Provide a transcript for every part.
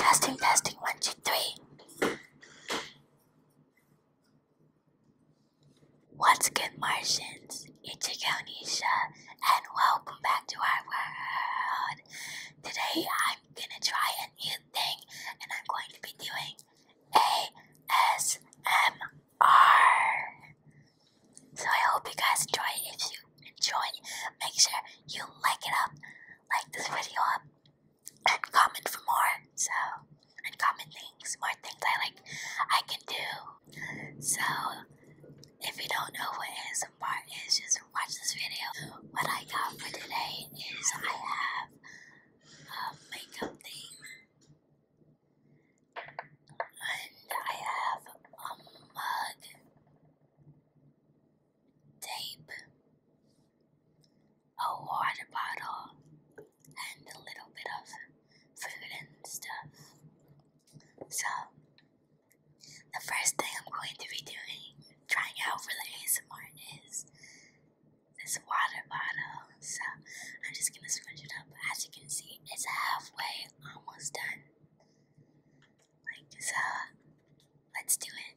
testing, testing, one, two, three. Once again, Martians, it's your girl Nisha, and welcome back to our world. Today, I'm gonna try a new thing, and I'm going to be doing ASMR. So I hope you guys enjoy it. If you enjoy, make sure you like it up, like this video up, and comment for more. So and comment things, more things I like I can do. So if you don't know what ASMR is, just watch this video. What I got for today is I have a makeup thing. And I have a mug, tape, a water bottle, and a little bit of food and stuff. So, the first thing I'm going to be doing, trying out for the ASMR, is this water bottle so I'm just gonna scrunch it up. As you can see, it's halfway almost done. so, let's do it.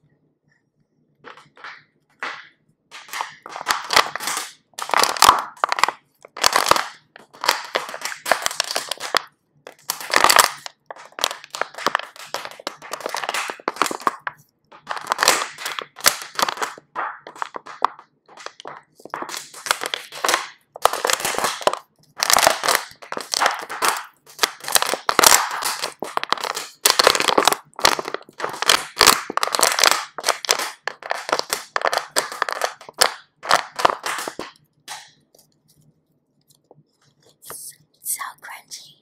It's so crunchy.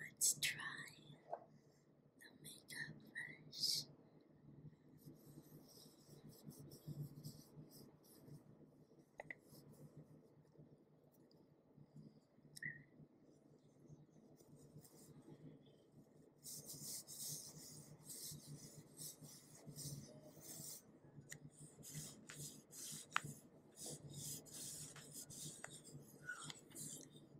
Let's try the makeup first.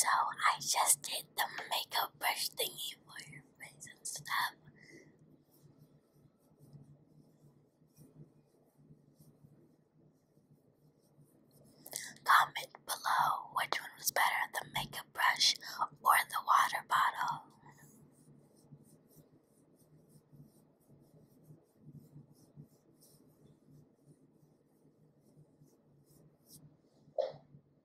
So I just did the makeup brush thingy for your face and stuff. Comment below which one was better, the makeup brush or the water bottle. I'm going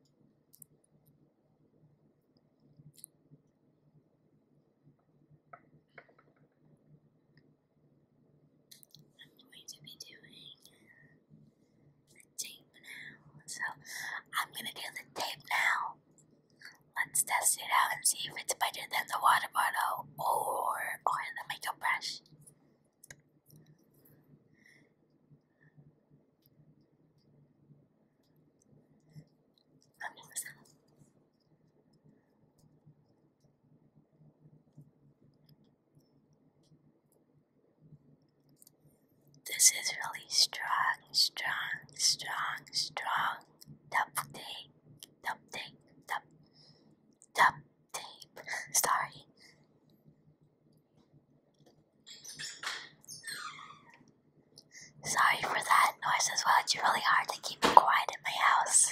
to be doing the tape now. So I'm going to do the tape now. Let's test it out and see if it's better than the water bottle or or the makeup brush. This is really strong, strong, strong, strong double take duct tape, duct, duct Sorry. Sorry for that noise as well. It's really hard to keep it quiet in my house.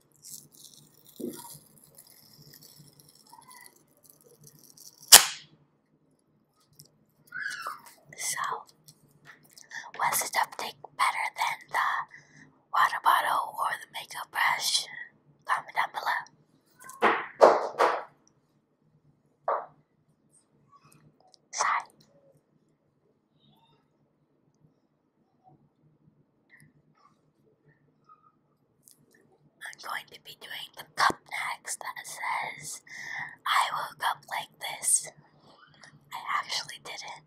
So, was the uptake better than the water bottle or the makeup brush? Comment down below. Sorry. I'm going to be doing the cup next that says, I woke up like this. I actually didn't.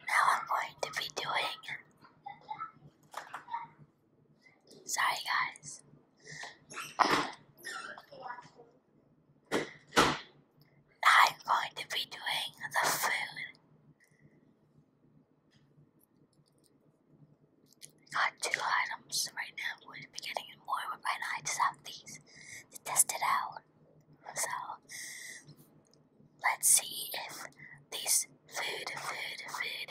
Now I'm going to be doing. Sorry, guys. I'm going to be doing the food Got two items right now. We'll be getting more, but right now I just have to test it out. So let's see if this food, food, food, food,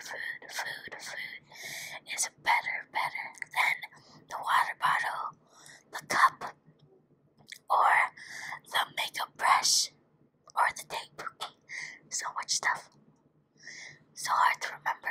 food, food, food is better, better than the water bottle, the cup, or the makeup brush or the tape. So much stuff. So hard to remember.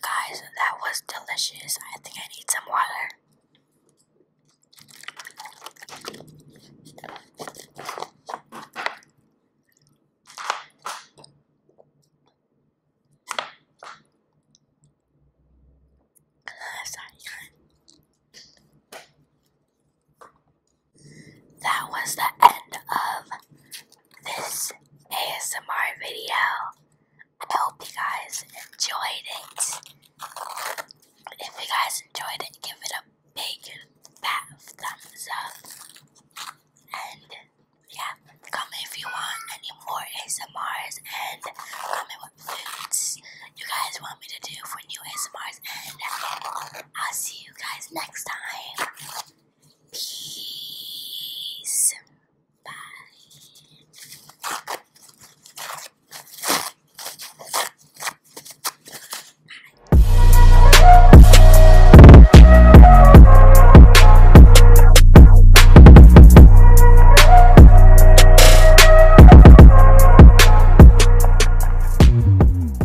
guys, that was delicious. I think I need some water that was the end of this ASMR video. I hope you guys enjoyed it. If you guys enjoyed it, give it a big fat thumbs up. And yeah, comment if you want any more ASMRs and comment what foods you guys want me to do for new ASMRs I'll see you guys next time. Peace. Bye.